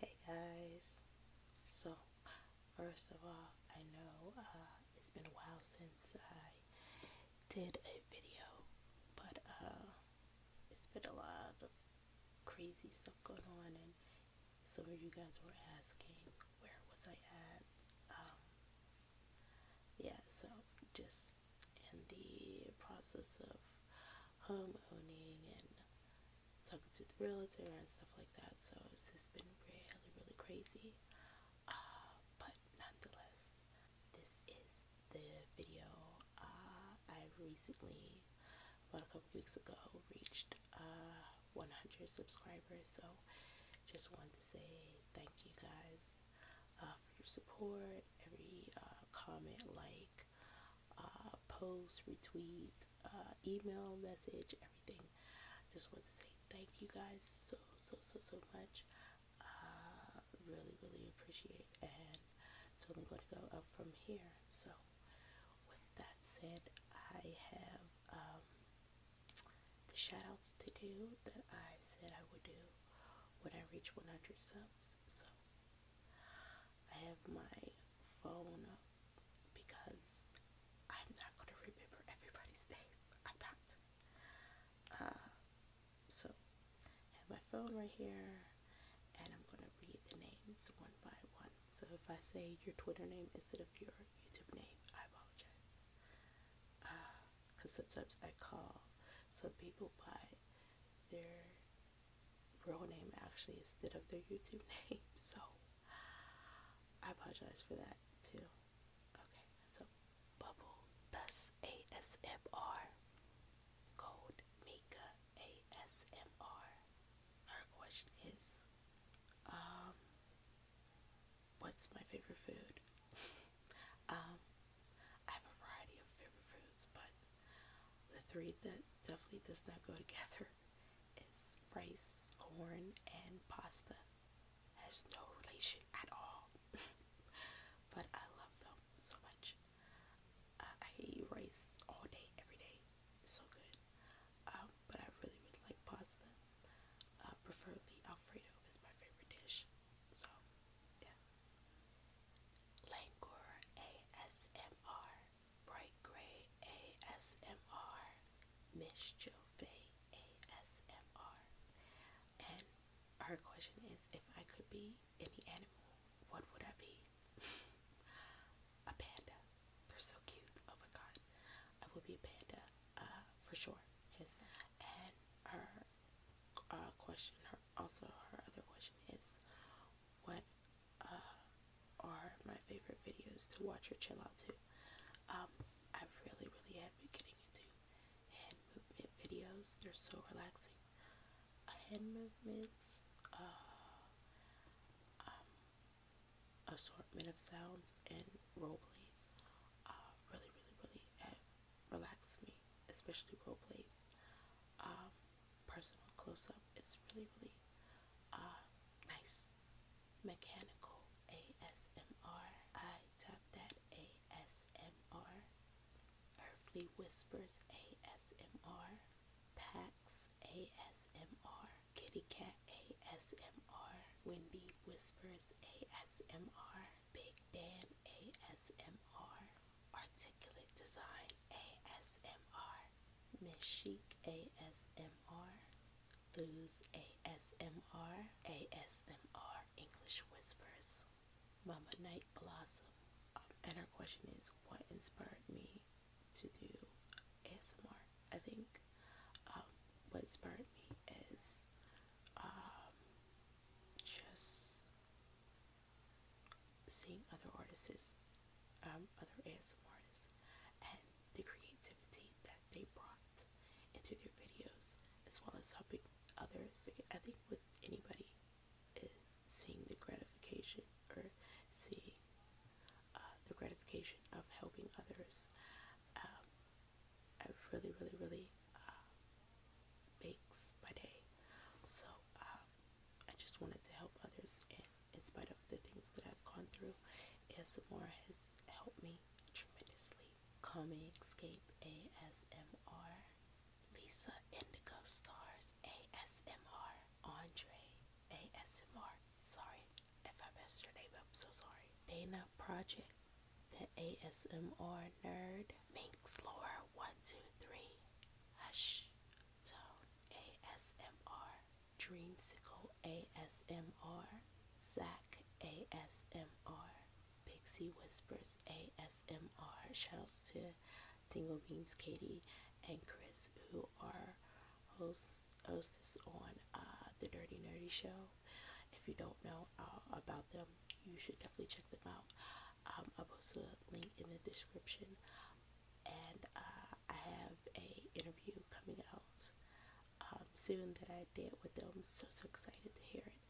Hey guys, so first of all, I know uh, it's been a while since I did a video, but uh, it's been a lot of crazy stuff going on, and some of you guys were asking where was I at. Um, yeah, so just in the process of home owning and talking to the realtor and stuff like that. So it's just been really, really crazy. Uh, but nonetheless, this is the video. Uh, I recently, about a couple weeks ago, reached uh, 100 subscribers. So just wanted to say thank you guys uh, for your support. Every uh, comment, like, uh, post, retweet, email, message, everything. Just want to say thank you guys so, so, so, so much. Uh, really, really appreciate and so I'm going to go up from here. So, with that said, I have um, the shoutouts to do that I said I would do when I reach 100 subs. So I have my phone up because I'm not going to remember everybody's name. I'm not. Uh, so I have my phone right here and I'm going to read the names one by one. So if I say your Twitter name instead of your YouTube name, I apologize. Uh, because sometimes I call. Some people by their real name actually instead of their YouTube name, so I apologize for that too. Okay, so Bubble Bus ASMR, Gold Mika ASMR. Her question is, um, What's my favorite food? Um, I have a variety of favorite foods, but the three that definitely does not go together is rice, corn, and pasta. Has no relation at all. but I love them so much. I can eat rice all day, every day. It's so good. Um, but I really, really like pasta. Uh, preferably Alfredo is my favorite dish. So, yeah. Langur ASMR, Bright Gray ASMR, Mischief ASMR. And her question is if I could be any animal, what would I be? a panda. They're so cute. Oh my god. I would be a panda uh, for sure. His and her uh, question, her also her other question is, what uh, are my favorite videos to watch or chill out to? Um, I really, really have been getting into hand movement videos. They're so relaxing. Uh, hand movements. Uh, um, assortment of sounds and role plays. Uh, really, really, really relax me, especially role plays. Um, personal close up is really, really uh, nice. Mechanical A S M R. I I tap that ASMR. Earthly Whispers ASMR. Pax ASMR. Kitty Cat ASMR. Windy Whispers ASMR. Big Damn ASMR, Articulate Design ASMR, Miss Chic ASMR, Lose ASMR, English Whispers, Mama Night Blossom. Um, and her question is what inspired me to do ASMR? think um, what inspired me is um, just seeing other artists, um, other ASM artists, and the creativity that they brought into their videos, as well as helping others. I think with anybody, uh, seeing the gratification or seeing uh, the gratification of helping others um, it really, really, really uh, makes my day. So uh, I just wanted to help others, and in spite of the things that I've gone through, ASMR has helped me tremendously. Call me Escape ASMR, Lisa Indigo Stars ASMR, Andre ASMR. Sorry if I messed your name up, so sorry. Dana Project the ASMR nerd Minx Lore 123 Hush Tone ASMR Dreamsicle ASMR Zach ASMR Pixie Whispers ASMR Shout Shoutouts to Tingle Beams Katie and Chris who are hosts hostess on uh, the Dirty Nerdy Show if you don't know uh, about them, you should definitely check them out. Um, I'll post a link in the description, and uh, I have a interview coming out um, soon that I did with them. So so excited to hear it,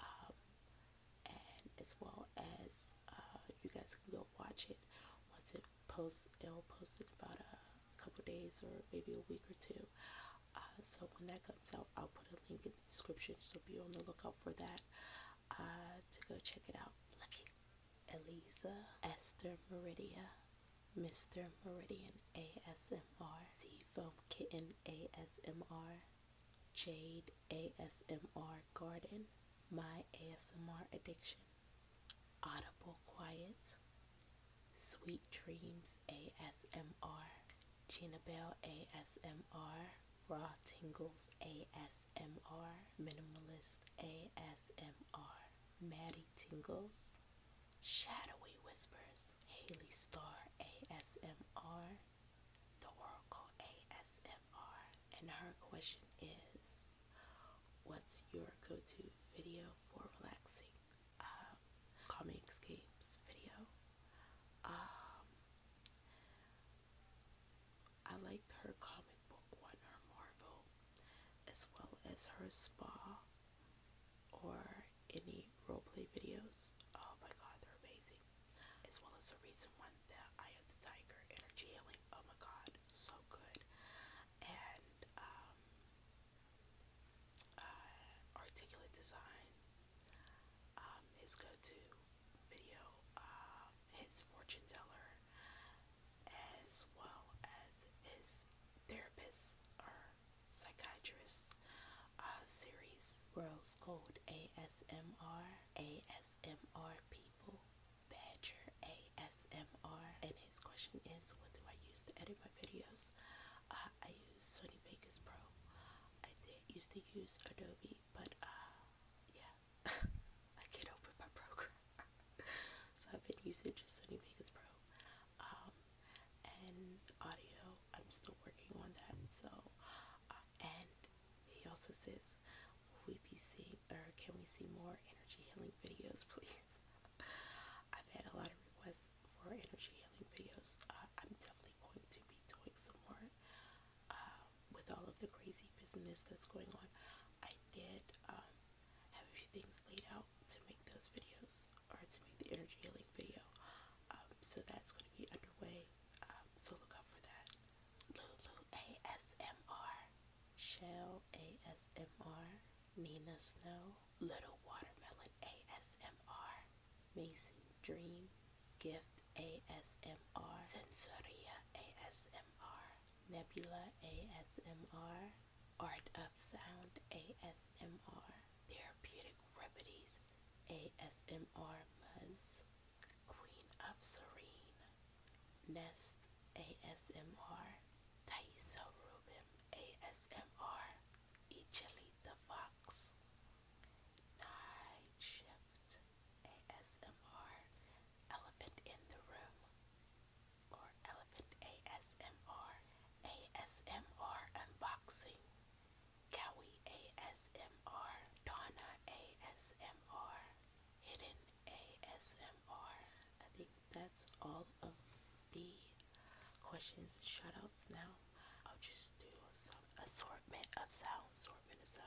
um, and as well as uh, you guys can go watch it once it posts. It'll post it about a couple days or maybe a week or two. Uh, so when that comes out, I'll put a link in the description. So be on the lookout for that uh, to go check it out. Love you, Elisa, Esther Meridia, Mr. Meridian ASMR, Foam Kitten ASMR, Jade ASMR Garden, My ASMR Addiction, Audible Quiet, Sweet Dreams ASMR, Gina Bell ASMR, Raw Tingles ASMR, Minimalist ASMR, Maddie Tingles, Shadowy Whispers, Haley Star ASMR, The Oracle ASMR, and her question is What's your go to video for relaxing? Uh, comic escapes video. Um, I liked her comic book one or Marvel, as well as her spa or any role play videos. Oh my god, they're amazing. As well as the recent one, that I of Tiger energy healing. Oh my god, so good. And um, uh, articulate design. Um, his go-to video, um, his fortune teller, as well as his therapist or psychiatrist uh, series, Rose Gold A S M R A S M R People, Badger ASMR, and his question is, what do I use to edit my videos? Uh, I use Sony Vegas Pro. I did used to use Adobe, but uh, yeah, I can't open my program, so I've been using just Sony Vegas Pro. Um, and audio, I'm still working on that. So, uh, and he also says, "Will we be seeing, or can we see more energy healing videos, please?" I've had a lot of requests for energy healing videos. Uh, I'm definitely going to be doing some more um, with all of the crazy business that's going on. I did um, have a few things laid out to make those videos or to make the energy healing video. Um, so that's going to be underway. so look out for that. Lulu ASMR, Shell ASMR, Nina Snow, Little Watermelon ASMR, Mason Dreams, Gift ASMR, Sensoria ASMR, Nebula ASMR, Art of Sound ASMR, Therapeutic Remedies ASMR Muzz, Queen of Serene, Nest ASMR, Thaisa Rubin ASMR, Echeli Fox, Night Shift ASMR Elephant in the Room or Elephant ASMR ASMR Unboxing Cowie ASMR Donna ASMR Hidden ASMR I think that's all of the questions and shoutouts now I'll just do some assortment of sounds, assortment of sounds.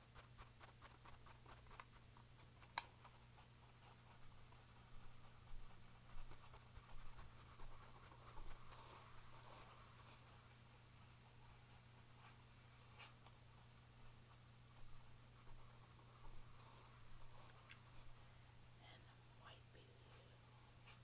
And wiping you. And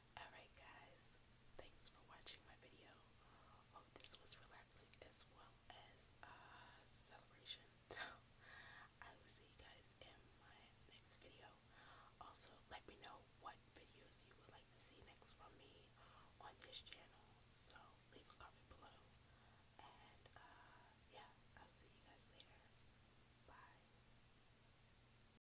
Alright guys, thanks for watching my video. Hope this was relaxing as well as uh, celebration. I will see you guys in my next video. Also let me know what videos you would like to see next from me on this channel. So leave a comment below. And uh, yeah, I'll see you guys later. Bye.